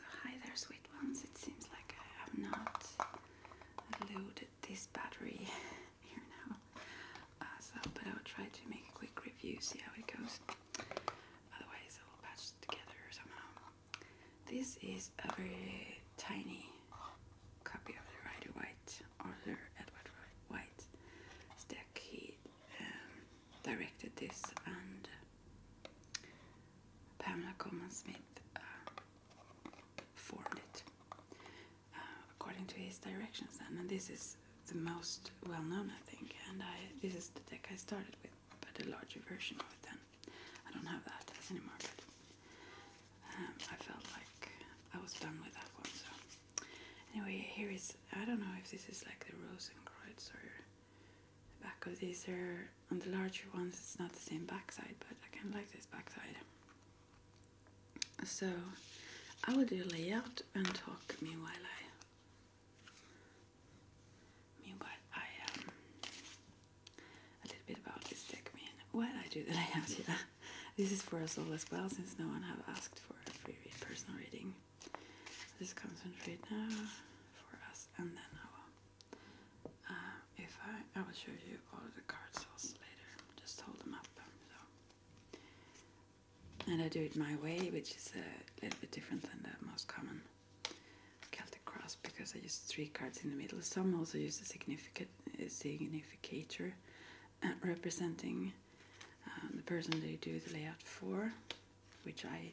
hi there, sweet ones. It seems like I have not loaded this battery here now. Uh, so, but I will try to make a quick review, see how it goes. Otherwise, I will patch together somehow. This is a very tiny copy of the Rider White, Arthur Edward White Stack. Um, directed this and Pamela Coleman Smith uh, formed it uh, according to his directions. And this is the most well known, I think. And this is the deck I started with, but a larger version of it then. I don't have that anymore, but um, I felt like I was done with that one. So, anyway, here is I don't know if this is like the or the back of these are on the larger ones it's not the same backside but I kind of like this backside so I will do layout and talk meanwhile I meanwhile I um a little bit about this deck I mean while I do the layout yeah this is for us all as well since no one have asked for a free personal reading I'll just concentrate now for us and then I will uh, if I, I will show you all of the cards cells later, just hold them up. Um, and I do it my way, which is a little bit different than the most common Celtic cross because I use three cards in the middle. Some also use a significant significator uh, representing um, the person they do the layout for which I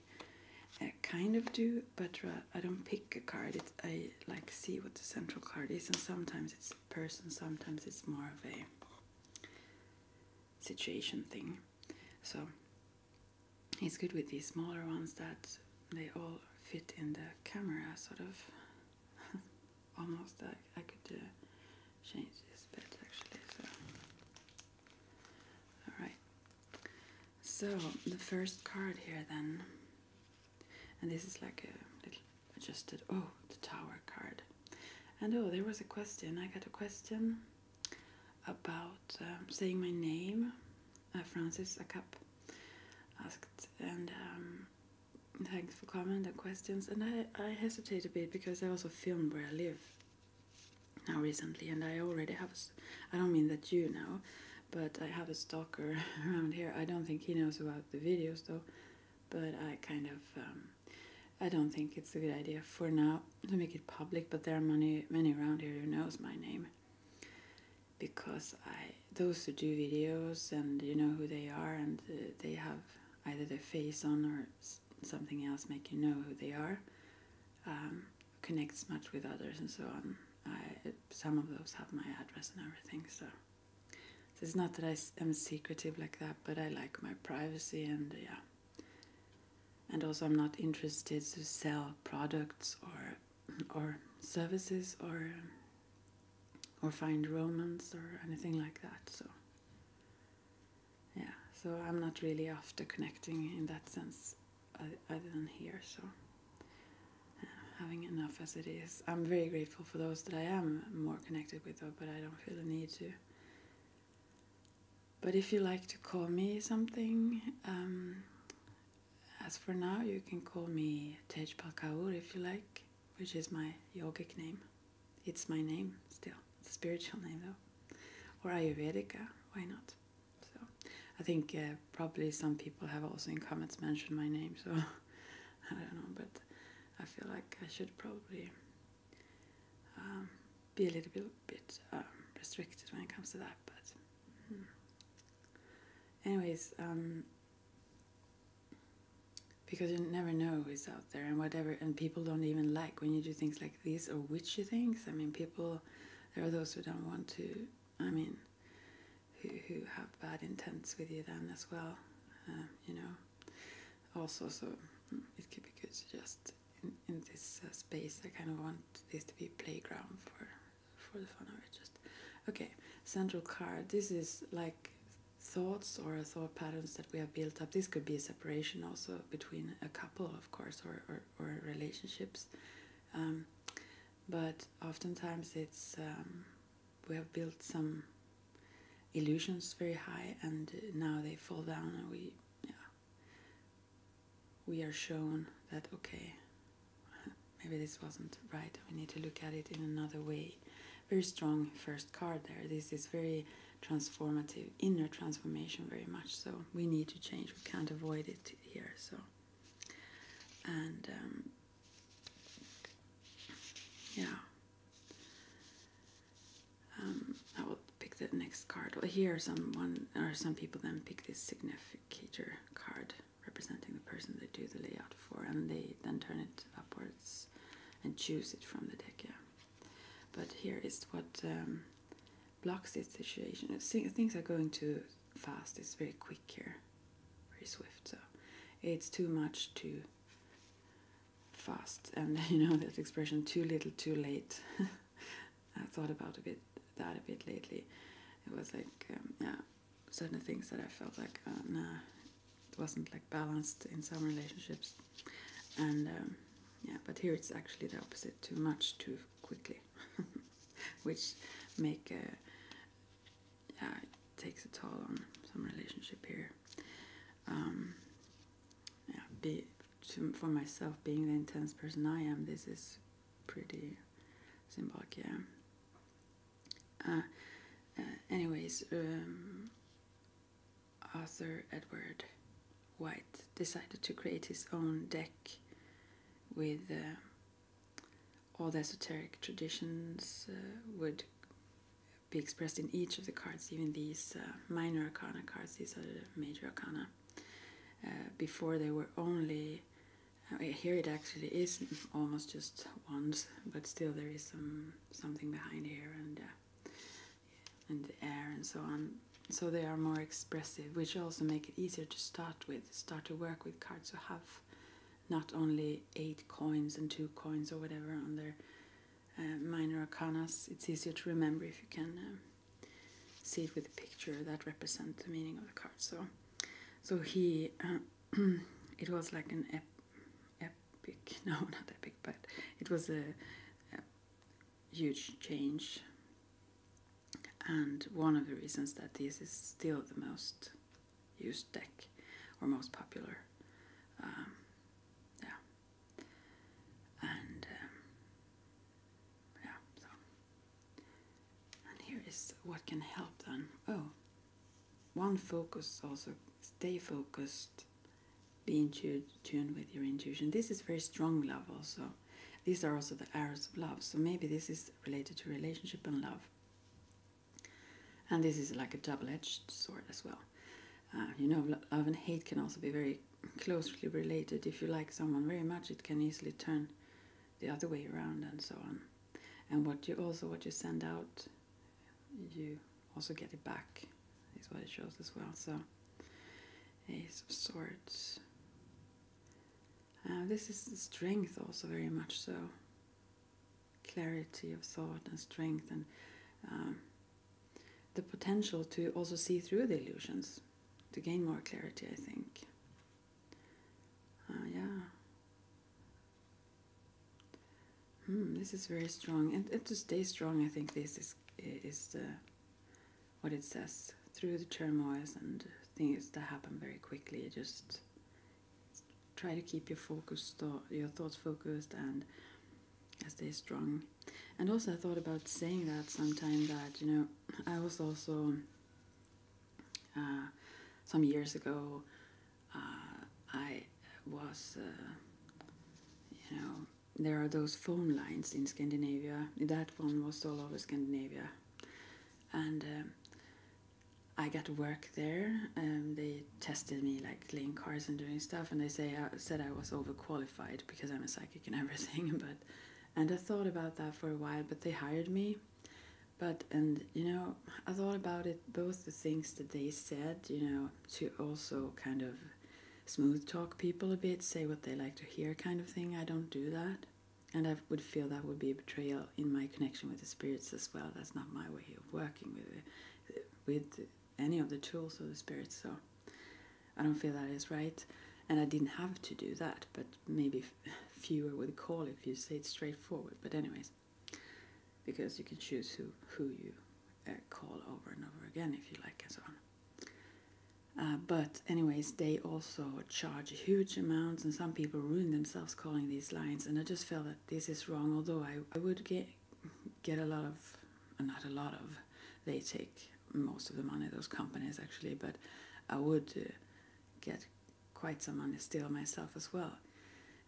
uh, kind of do, but uh, I don't pick a card. It's, I like see what the central card is, and sometimes it's a person, sometimes it's more of a situation thing. So it's good with these smaller ones that they all fit in the camera, sort of. Almost, I, I could uh, change this but actually. So, all right. So the first card here then, and this is like a little adjusted. Oh, the Tower card, and oh, there was a question. I got a question about um, saying my name. Uh, Francis Akap asked, and um, thanks for comment and questions. And I I hesitate a bit because I also film where I live, now recently, and I already have. I don't mean that you know, but I have a stalker around here. I don't think he knows about the videos though, but I kind of. Um, I don't think it's a good idea for now to make it public, but there are many many around here who knows my name. Because I those who do videos and you know who they are and they have either their face on or something else make you know who they are. Um, connects much with others and so on. I, some of those have my address and everything, so. it's not that I am secretive like that, but I like my privacy and yeah. And also, I'm not interested to sell products or or services or or find romance or anything like that. So yeah, so I'm not really after connecting in that sense. Uh, other than here, So uh, having enough as it is, I'm very grateful for those that I am more connected with, but I don't feel the need to. But if you like to call me something, um, as for now, you can call me Tej Palkaur if you like, which is my yogic name. It's my name still, spiritual name though. Or Ayurvedica, why not? So I think uh, probably some people have also in comments mentioned my name, so I don't know, but I feel like I should probably um, be a little bit, bit um, restricted when it comes to that. But hmm. anyways, um, because you never know who's out there and whatever, and people don't even like when you do things like this or witchy things. I mean, people there are those who don't want to I mean, who, who have bad intents with you then as well, um, you know. Also, so it could be good to just in, in this uh, space. I kind of want this to be playground for for the fun of it. Just okay. Central card. This is like thoughts or thought patterns that we have built up. This could be a separation also between a couple, of course, or or, or relationships. Um, but oftentimes it's um, we have built some illusions very high and now they fall down and we yeah, we are shown that okay maybe this wasn't right we need to look at it in another way very strong first card there this is very transformative inner transformation very much so we need to change we can't avoid it here so and um, yeah um, I will pick the next card Well, here someone or some people then pick this significator card representing the person they do the layout for and they then turn it upwards and choose it from the deck yeah but here is what um, blocks this situation things are going to fast. It's very quick here, very swift. So it's too much, too fast. And you know that expression, too little, too late. I thought about a bit that a bit lately. It was like um, yeah, certain things that I felt like uh, nah, it wasn't like balanced in some relationships, and um, yeah, but here it's actually the opposite: too much, too quickly, which make uh, a, it takes a toll on some relationship here. Um, yeah, be for myself being the intense person I am, this is pretty symbolic. Uh, uh, anyways, um, Arthur Edward White decided to create his own deck with all the esoteric traditions uh, would be expressed in each of the cards, even these uh, minor akana cards, these are the major akana. Uh, before they were only, here it actually is almost just ones, but still there is some something behind here and, and the air and so on. So they are more expressive, which also make it easier to start with start to work with cards So have not only eight coins and two coins or whatever on their uh, minor arcanas. It's easier to remember if you can um, see it with a picture that represents the meaning of the card. So, so he, uh, it was like an epic, no, not epic, but it was a huge change and one of the reasons that this is still the most used deck or most popular. Um, yeah. And um, yeah, so. And here is what can help them. Oh, one focus also stay focused, be in tune, tune with your intuition. This is very strong love also. These are also the arrows of love. So maybe this is related to relationship and love. And this is like a double edged sword as well. Uh, you know, love and hate can also be very closely related. If you like someone very much, it can easily turn the other way around and so on. And what you also what you send out, you also get it back. Is what it shows as well. So, Ace of Swords, uh, this is strength also very much so. Clarity of thought and strength and um, the potential to also see through the illusions, to gain more clarity, I think. Uh, yeah. Hmm, this is very strong, and, and, to stay strong, I think this is is the what it says through the turmoils and things that happen very quickly. Just try to keep your focus, thought, your thoughts focused, and stay strong. And also, I thought about saying that sometime that you know I was also uh, some years ago uh, I was uh, you know there are those phone lines in Scandinavia. That one was all over Scandinavia and um, I got work there. and um, they tested me like laying cars and doing stuff, and they say uh, said I was overqualified because I'm a psychic and everything. But and I thought about that for a while, but they hired me. But and you know I thought about it both the things that they said, you know, to also kind of smooth talk people a bit, say what they like to hear, kind of thing. I don't do that. And I would feel that would be a betrayal in my connection with the spirits as well. That's not my way of working with with any of the tools or the spirits. So I don't feel that is right. And I didn't have to do that, but maybe fewer would call if you say it straightforward. But anyways, because you can choose who who you uh, call over and over again if you like, and so on. Uh, but anyways, they also charge huge amounts, and some people ruin themselves calling these lines. And I just felt that this is wrong. Although I, I would get get a lot of, not a lot of, they take most of the money. Those companies actually, but I would uh, get quite some money still myself as well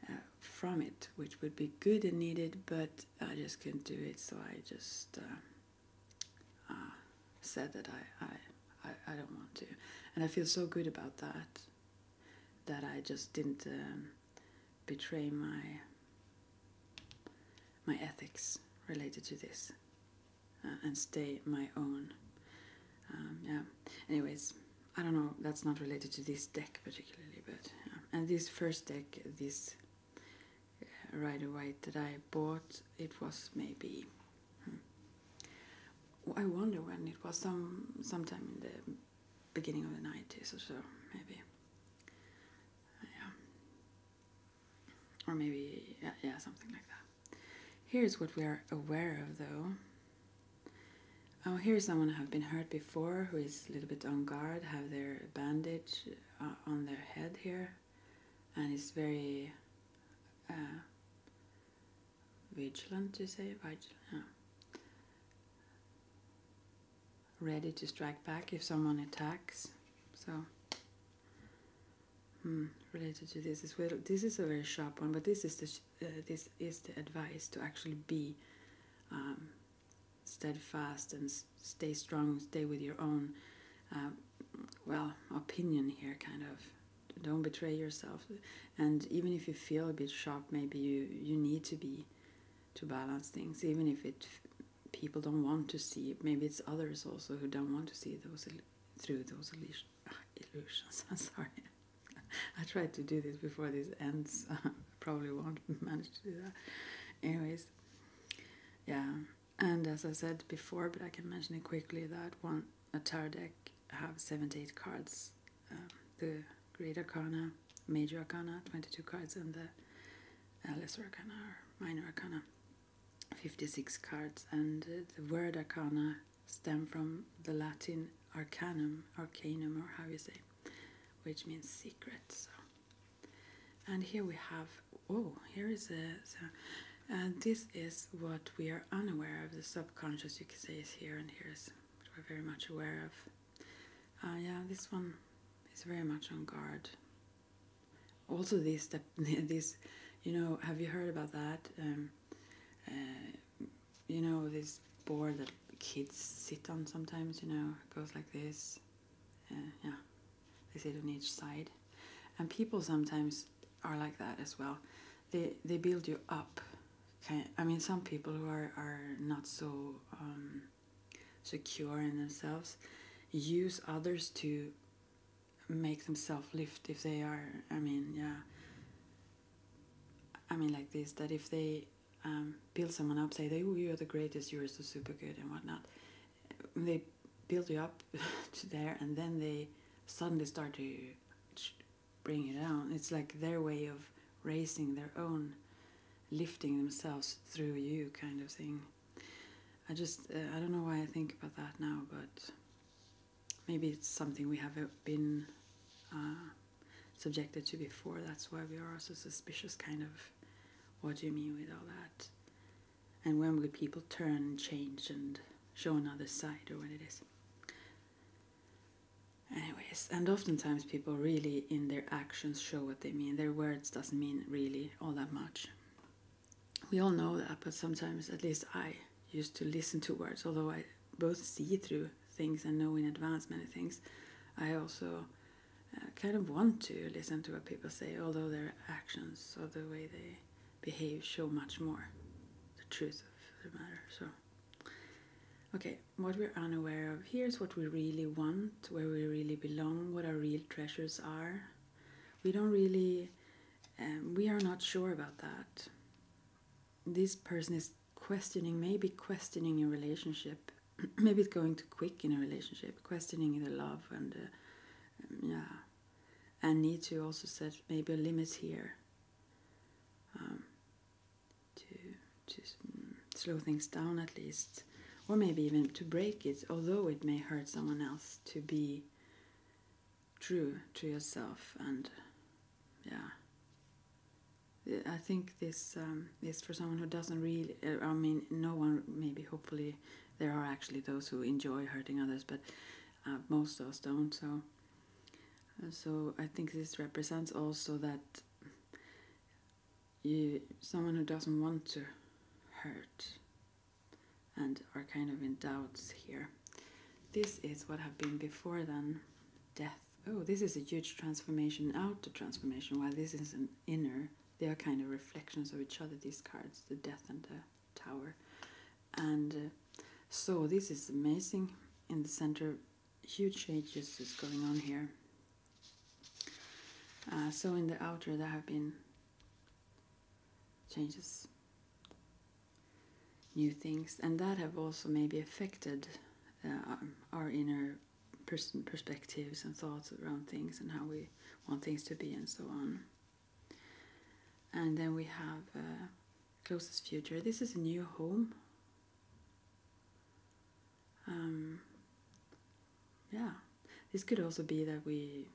uh, from it, which would be good and needed. But I just couldn't do it, so I just said that I, I, I, don't want to. And I feel so good about that, that I just didn't um, betray my, my ethics related to this uh, and stay my own. Um, yeah. Anyways, I don't know, that's not related to this deck particularly, but And this first deck, this uh, right away that I bought, it was maybe I wonder when it was. Some sometime in the beginning of the nineties or so, maybe. Yeah. Or maybe yeah, yeah, something like that. Here's what we are aware of, though. Oh, here's someone who have been hurt before, who is a little bit on guard, have their bandage uh, on their head here, and is very. Uh, vigilant, you say? Vigilant, Ready to strike back if someone attacks. So, hmm, related to this as well. This is a very sharp one, but this is the uh, this is the advice to actually be um, steadfast and stay strong, stay with your own. Uh, well, opinion here, kind of. Don't betray yourself. And even if you feel a bit shocked, maybe you, you need to be to balance things, even if it people don't want to see. it, Maybe it's others also who don't want to see those through those illusions. I'm sorry. I tried to do this before this ends. Probably won't manage to do that. Anyways, yeah. And as I said before, but I can mention it quickly that one a tarot deck have 78 cards um, the greater Arcana, Major Arcana, 22 cards, and the uh, Lesser Arcana Minor Arcana, 56 cards. And uh, the word Arcana stem from the Latin arcanum, arcanum, or how you say, which means secret. So, and here we have. Oh, here is a. And this is what we are unaware of. The subconscious, you can say, is here, and here is what we're very much aware of. Uh, yeah, this one is very much on guard. Also, these, these, you know, have you heard about that? Um, uh, you know, this board that kids sit on sometimes, you know, goes like this. Uh, yeah, they sit on each side. And people sometimes are like that as well they they build you up. Kind I mean, some people who are are not so um, secure in themselves use others to make themselves lift if they are. I mean, yeah. I mean, like this that if they um, build someone up, say, "Oh, you are the greatest. You are so super good," and whatnot. They build you up to there, and then they suddenly start to bring it down. It's like their way of raising their own, lifting themselves through you, kind of thing. I just, uh, I don't know why I think about that now, but maybe it's something we have not uh, been uh, subjected to before. That's why we are so suspicious, kind of. What do you mean with all that? And when will people turn and change and show another side or what it is? Anyways, and oftentimes people really in their actions show what they mean. Their words doesn't mean really all that much. We all know that, but sometimes, at least I used to listen to words, although I both see through things and know in advance many things. I also uh, kind of want to listen to what people say, although their actions or the way they behave show much more. The truth of the matter. So, okay, what we're unaware of here is what we really want, where we really belong, what our real treasures are. We don't really, um, we are not sure about that. This person is questioning, maybe questioning a relationship. maybe it's going too quick in a relationship, questioning the love and, uh, um, yeah, and need to also set maybe a limit here um, to to mm, slow things down at least, or maybe even to break it, although it may hurt someone else. To be true to yourself and yeah. I think this um, is for someone who doesn't really. Uh, I mean, no one. Maybe hopefully there are actually those who enjoy hurting others, but uh, most of us don't. So uh, so I think this represents also that you someone who doesn't want to hurt and are kind of in doubts here. This is what have been before then death. Oh, this is a huge transformation outer transformation, while this is an inner. They are kind of reflections of each other, these cards, the death and the tower and uh, so this is amazing in the center huge changes is going on here uh, so in the outer there have been changes new things and that have also maybe affected uh, um, our inner perspectives and thoughts around things and how we want things to be and so on and then we have uh, closest future. This is a new home. Um, yeah, this could also be that we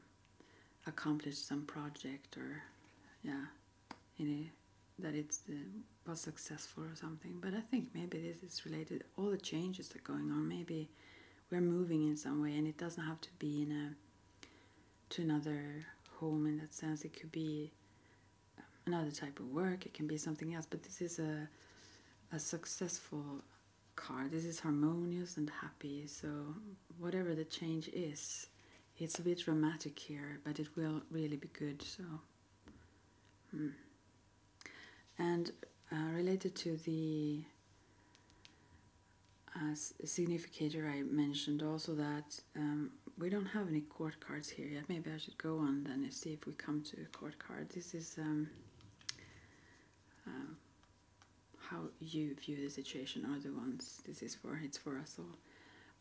accomplish some project or yeah, in a, that it uh, was successful or something. But I think maybe this is related. All the changes that going on. Maybe we're moving in some way, and it doesn't have to be in a to another home in that sense. It could be um, another type of work, it can be something else, but this is a, a successful card. This is harmonious and happy, so whatever the change is, it's a bit dramatic here, but it will really be good. So, hmm. and uh, related to the as a significator, I mentioned also that um, we don't have any court cards here yet. Maybe I should go on then and see if we come to court card. This is um, um, how you view the situation are the ones this is for. It's for us all.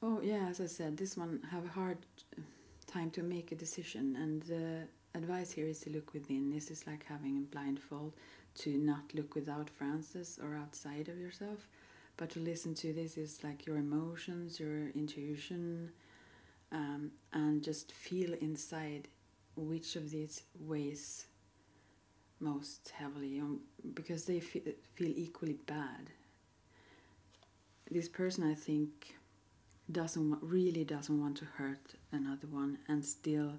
Oh yeah, as I said, this one have a hard time to make a decision, and the advice here is to look within. This is like having a blindfold to not look without Francis or outside of yourself but to listen to this is like your emotions, your intuition, um, and just feel inside which of these weighs most heavily um, because they feel, feel equally bad. This person, I think, doesn't really doesn't want to hurt another one, and still,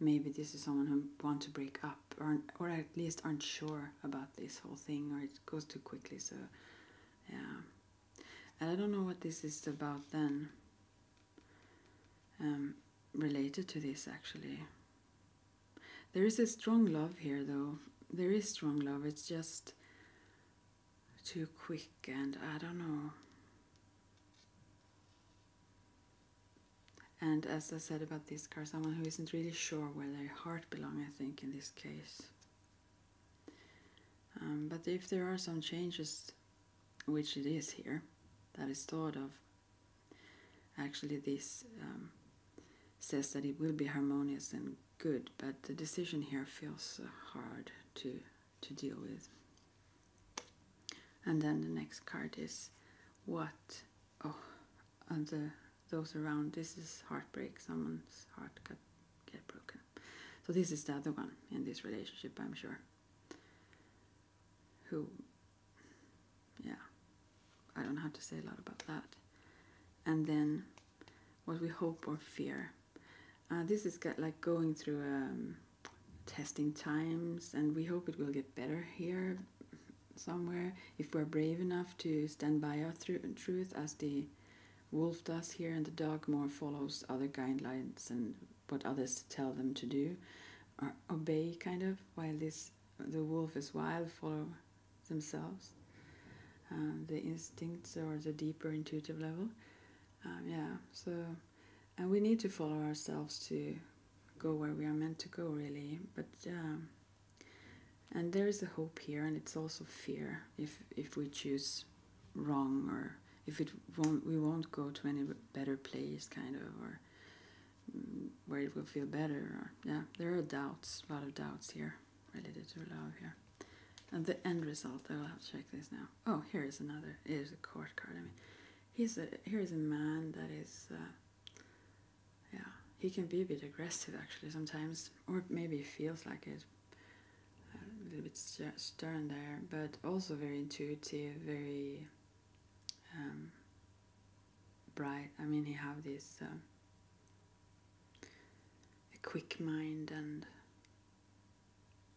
maybe this is someone who want to break up, or or at least aren't sure about this whole thing, or it goes too quickly. So, yeah. And I don't know what this is about then. Um, related to this, actually. There is a strong love here, though. There is strong love. It's just too quick, and I don't know. And as I said about this card, someone who isn't really sure where their heart belongs, I think, in this case. Um, but if there are some changes, which it is here, that is thought of, actually this um, says that it will be harmonious and good, but the decision here feels uh, hard to, to deal with. And then the next card is what? Oh, and those around. This is heartbreak. Someone's heart got get broken. So this is the other one in this relationship, I'm sure. Who, yeah, I don't have to say a lot about that. And then what we hope or fear. Uh, this is got, like going through um, testing times, and we hope it will get better here somewhere, if we're brave enough to stand by our thr truth as the wolf does here and the dog more follows other guidelines and what others tell them to do uh, obey kind of while this the wolf is wild follow themselves um, the instincts or the deeper intuitive level um, yeah so and we need to follow ourselves to go where we are meant to go really but um, and there is a hope here, and it's also fear if if we choose wrong or if it won't we won't go to any better place, kind of, or mm, where it will feel better. Or yeah, there are doubts, a lot of doubts here related to love here. And the end result, I will have to check this now. Oh, here is another. It is a court card. I mean, he's a here is a man that is. Uh, yeah, he can be a bit aggressive actually sometimes, or maybe feels like it. A little bit stern there, but also very intuitive, very um, bright. I mean, he have this um, a quick mind and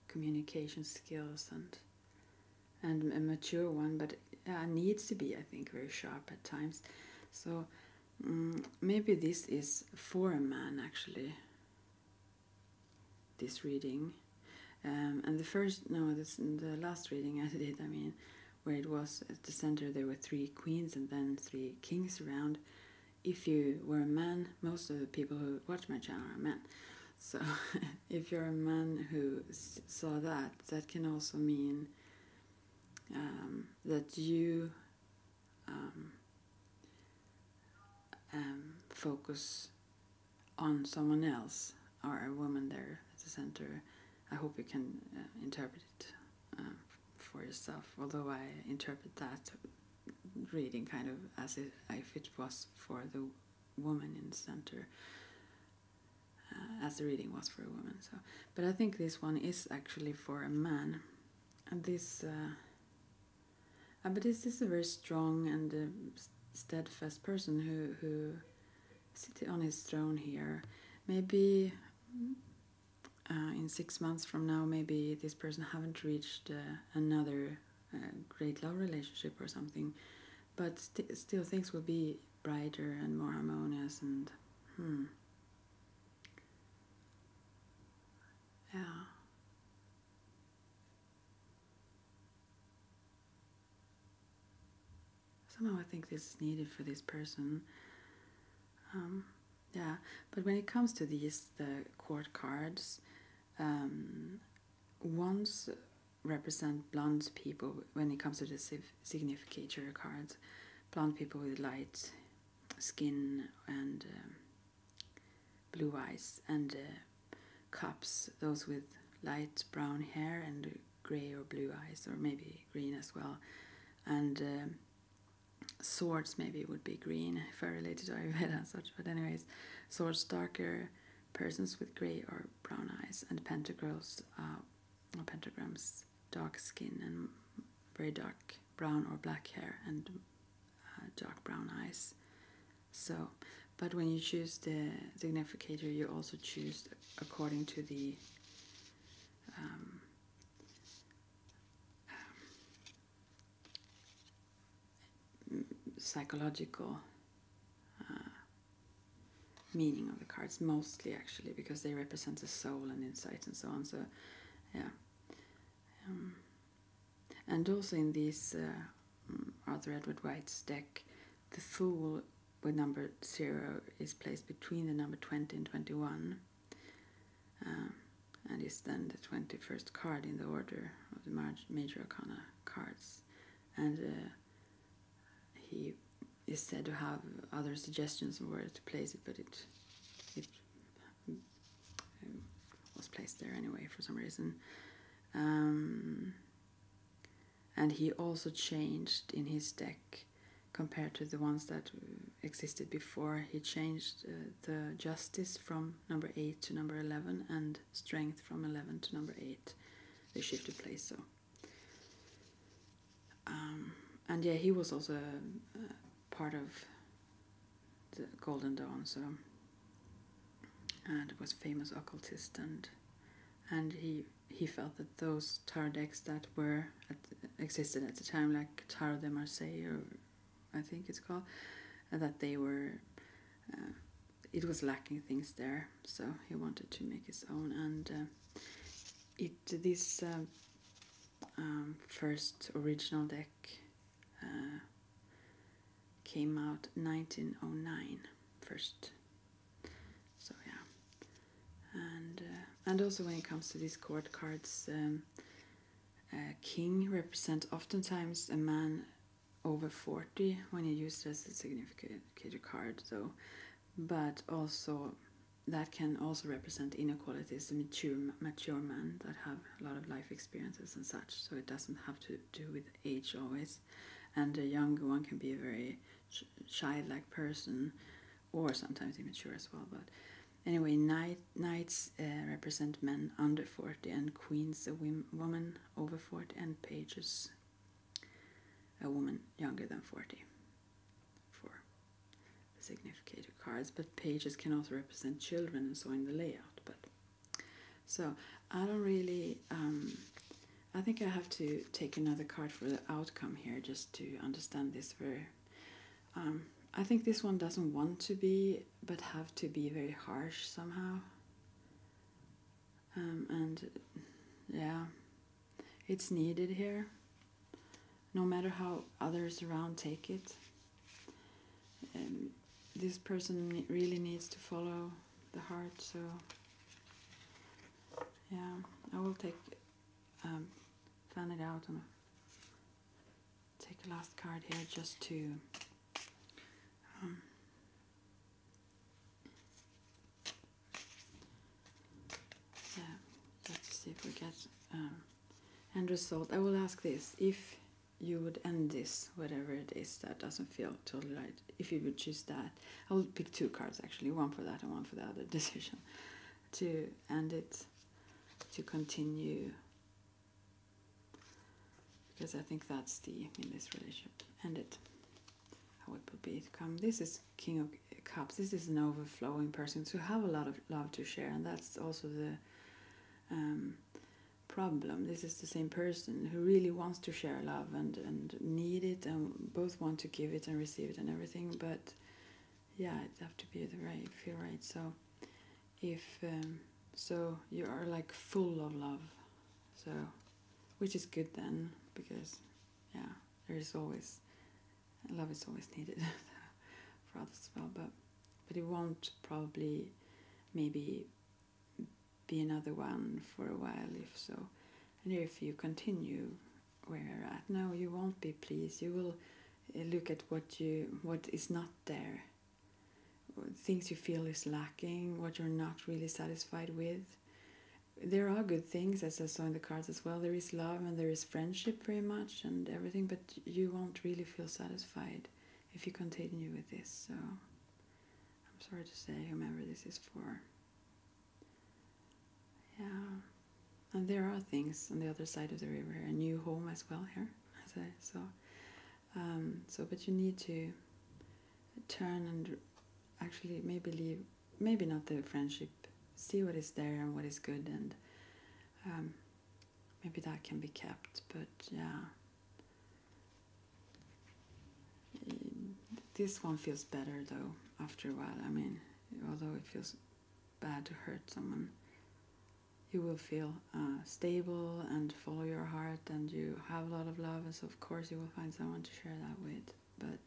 communication skills and and a mature one, but but uh, needs to be, I think, very sharp at times. So mm, maybe this is for a man actually. This reading, um, and the first no, this, the last reading I did, I mean, where it was at the center there were three queens and then three kings around. If you were a man, most of the people who watch my channel are men. So if you're a man who saw that, that can also mean um, that you um, um, focus on someone else or a woman there at the center. I hope you can uh, interpret it for yourself, although I interpret that reading kind of as if, if it was for the woman in the center. Uh, as the reading was for a woman. So, but I think this one is actually for a man, and this. Uh, uh but this is a very strong and uh, steadfast person who who sits on his throne here. Maybe in six months from now, maybe this person haven't reached another great love relationship or something, but still things will be brighter and more harmonious and hmm. Yeah. Somehow I think this is needed for this person. Um, yeah, but when it comes to these, the court cards, um, ones represent blonde people when it comes to the civ Significator cards, blonde people with light skin and um, blue eyes, and uh, cups those with light brown hair and gray or blue eyes, or maybe green as well, and um, swords maybe would be green if I related to Ayurveda and such. But anyways, swords darker persons with gray or brown eyes, and pentagrams, uh, or pentagrams dark skin and very dark brown or black hair and uh, dark brown eyes. So, but when you choose the significator, you also choose according to the um, um, psychological uh, meaning of the cards, mostly actually, because they represent the soul and insight and so on. So, yeah. Um, and also in this Arthur uh, mm, Edward White's deck, the Fool with number 0 is placed between the number 20 and 21. Um, and is then the 21st card in the order of the major arcana cards. And uh, he is said to have other suggestions on where to place it, but it it um, was placed there anyway for some reason. Um, and he also changed in his deck compared to the ones that existed before. He changed uh, the justice from number 8 to number 11 and strength from 11 to number 8. They shifted place so. Um, and yeah, he was also uh, part of the Golden Dawn, so and was a famous occultist and and he he felt that those tarot decks that were existed at the time, like Tarot de Marseille, I think it's called, uh, that they were uh, it was lacking things there, so he wanted to make his own and. Uh, it these um, first original deck uh, came out 1909 first. So yeah, and uh, and also when it comes to these court cards, um, king represents oftentimes a man over 40 when you use it as a significant card. So but also that can also represent inequalities in mature, mature men that have a lot of life experiences and such. So it doesn't have to do with age always. And a younger one can be a very ch childlike person or sometimes immature as well. But anyway, knight, knights uh, represent men under 40 and queens a woman over 40 and pages a woman younger than 40 for significant cards, but pages can also represent children and so in the layout. But so I don't really. Um, I think I have to take another card for the outcome here just to understand this very. Um, I think this one doesn't want to be, but have to be very harsh somehow. Um, and yeah, it's needed here, no matter how others around take it. Um, this person really needs to follow the heart, so yeah, I will take, um, plan it out and take a last card here just to. Um, let's see if we get um, end result I will ask this if you would end this whatever it is that doesn't feel totally right if you would choose that I will pick two cards actually one for that and one for the other decision to end it to continue because I think that's the in this relationship end it how would it come this is King of Cups, this is an overflowing person so have a lot of love to share, and that's also the um, problem. This is the same person who really wants to share love and, and need it, and both want to give it and receive it and everything, but yeah, it have to be the right, feel right. So, if um, so, you are like full of love, so which is good then because yeah, there is always love is always needed for others as well, but but it won't probably maybe be another one for a while if so. And if you continue where you're at, no, you won't be pleased. You will eh, look at what you what is not there, things you feel is lacking, what you're not really satisfied with, there are good things as I saw in the cards as well. There is love and there is friendship very much and everything, but you won't really feel satisfied if you continue with this. So I'm sorry to say, whomever this is for. Yeah. And there are things on the other side of the river, a new home as well here, as I saw. Um, so, but you need to turn and actually maybe leave maybe not the friendship, see what is there and what is good, and um, maybe that can be kept. But yeah, this one feels better though after a while. I mean, although it feels bad to hurt someone, you will feel uh, stable and follow your heart, and you have a lot of love, and of course you will find someone to share that with. But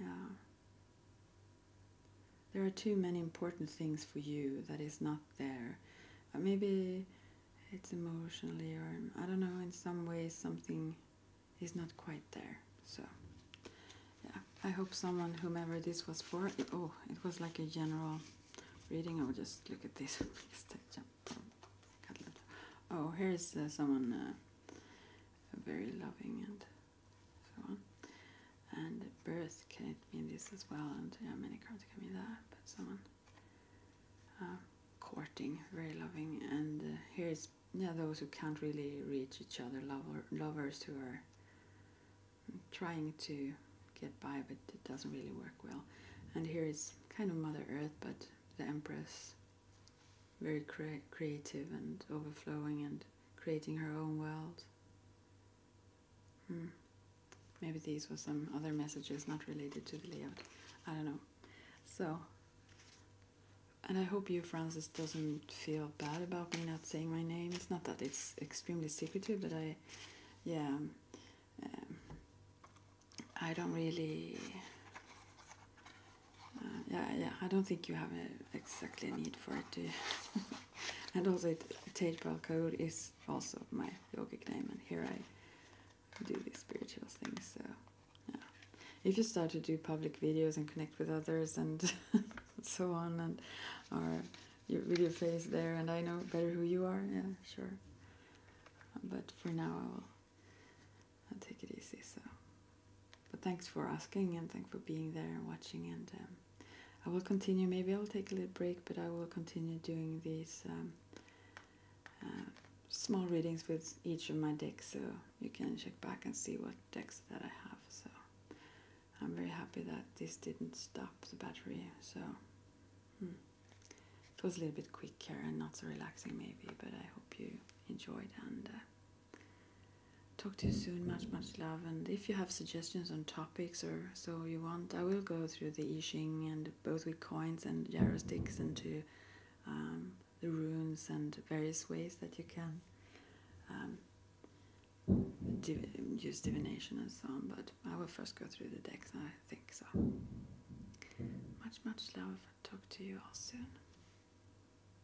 yeah. There are too many important things for you that is not there. Uh, maybe it's emotionally, or I don't know, in some ways something is not quite there. So, yeah, I hope someone, whomever this was for, oh, it was like a general reading. I'll just look at this. oh, here's uh, someone uh, very loving and so on. And birth, can it mean this as well? And yeah, many cards can mean that, but someone uh, um, courting, very loving. And uh, here's yeah, those who can't really reach each other, lover, lovers who are trying to get by, but it doesn't really work well. And here is kind of Mother Earth, but the Empress very cre creative and overflowing and creating her own world. Hmm. Maybe these were some other messages not related to the layout. I don't know. So, and I hope you, Francis, doesn't feel bad about me not saying my name. It's not that it's extremely secretive, but I, yeah, um, I don't really uh, yeah, yeah. I don't think you have a, exactly need for it, do and also, it, Tejpal is also my yogic name, and here I do these spiritual things. So, yeah. If you start to do public videos and connect with others and so on, and are your, with your face there, and I know better who you are, yeah, sure. But for now, I will I'll take it easy. So. But thanks for asking and thanks for being there and watching. And um, I will continue. Maybe I will take a little break, but I will continue doing these um, uh, small readings with each of my decks, so you can check back and see what decks that I have. So I'm very happy that this didn't stop the battery. So. Hmm. It was a little bit quicker and not so relaxing, maybe, but I hope you enjoyed and uh, Talk to you soon. Much, much love. And if you have suggestions on topics or so you want, I will go through the I Ching and both with coins and gyro sticks and to um, the runes and various ways that you can um, use divination and so on. But I will first go through the decks, I think so. Much, much love. Talk to you all soon.